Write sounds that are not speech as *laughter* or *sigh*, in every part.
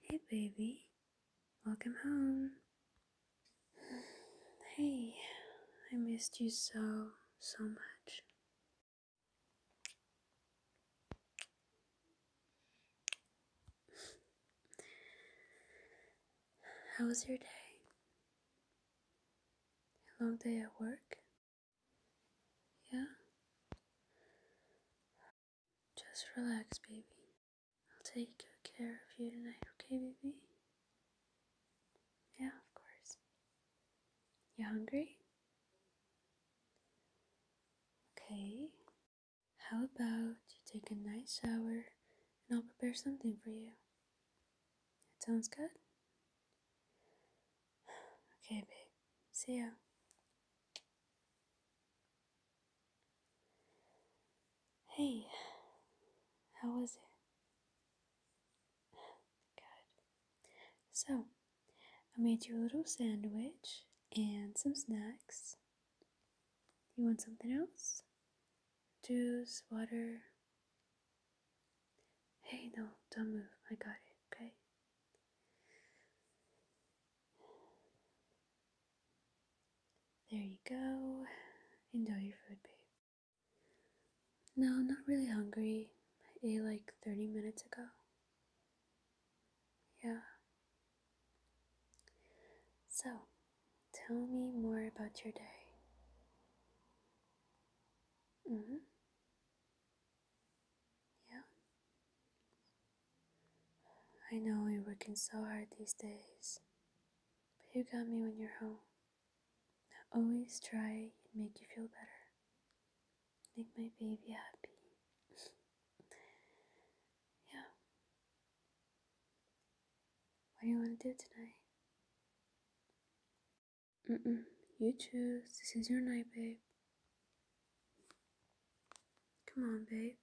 Hey, baby. Welcome home. Hey, I missed you so, so much. How was your day? A long day at work? Yeah? Just relax, baby. I'll take good care of you tonight, okay, baby? Yeah, of course. You hungry? Okay. How about you take a nice shower and I'll prepare something for you? That sounds good? *sighs* Okay, baby. See ya. Hey, how was it? Good. So, I made you a little sandwich and some snacks. You want something else? Juice, water? Hey, no, don't move. I got it, okay? There you go. Enjoy your food, babe. No, not really hungry. I ate like 30 minutes ago. Yeah. So, tell me more about your day. Mm hmm. Yeah. I know you're working so hard these days, but you got me when you're home. I always try and make you feel better. Make my baby happy. *laughs* yeah. What do you want to do tonight? Mm-mm. You choose. This is your night, babe. Come on, babe.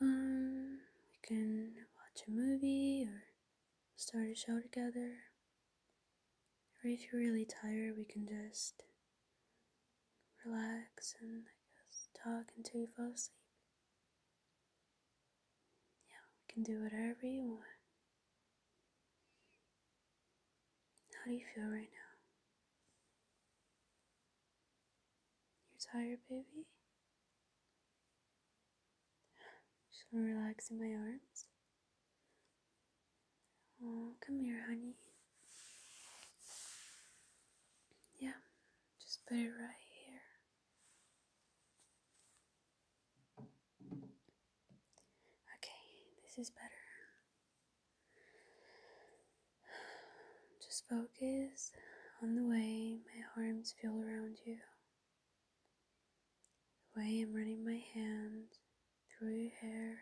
Um, we can watch a movie or start a show together. Or if you're really tired, we can just relax and talk until you fall asleep. Yeah, we can do whatever you want. How do you feel right now? You're tired, baby? Just want to relax in my arms. Oh, come here, honey. Yeah, just put it right here. Okay, this is better. Just focus on the way my arms feel around you, the way I'm running my hands through your hair,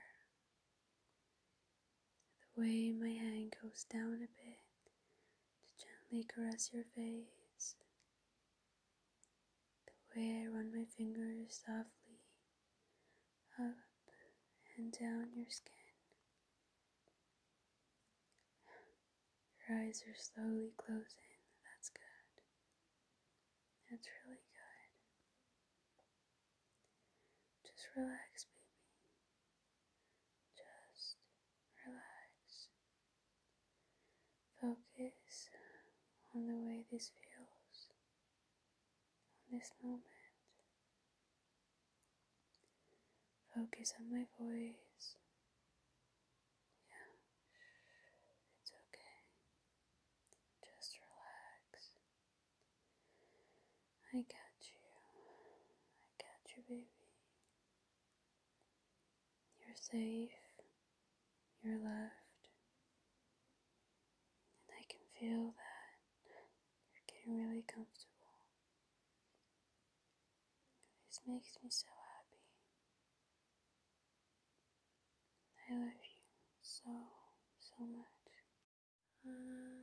the way my hand goes down a bit to gently caress your face the way I run my fingers softly up and down your skin. Your eyes are slowly closing. That's good. That's really good. Just relax, baby. Just relax. Focus on the way this feels on this moment. Focus on my voice. Yeah, it's okay. Just relax. I got you. I got you, baby. You're safe, you're loved, and I can feel that you're getting really comfortable. This makes me so happy. I love you so, so much. Mm-hmm.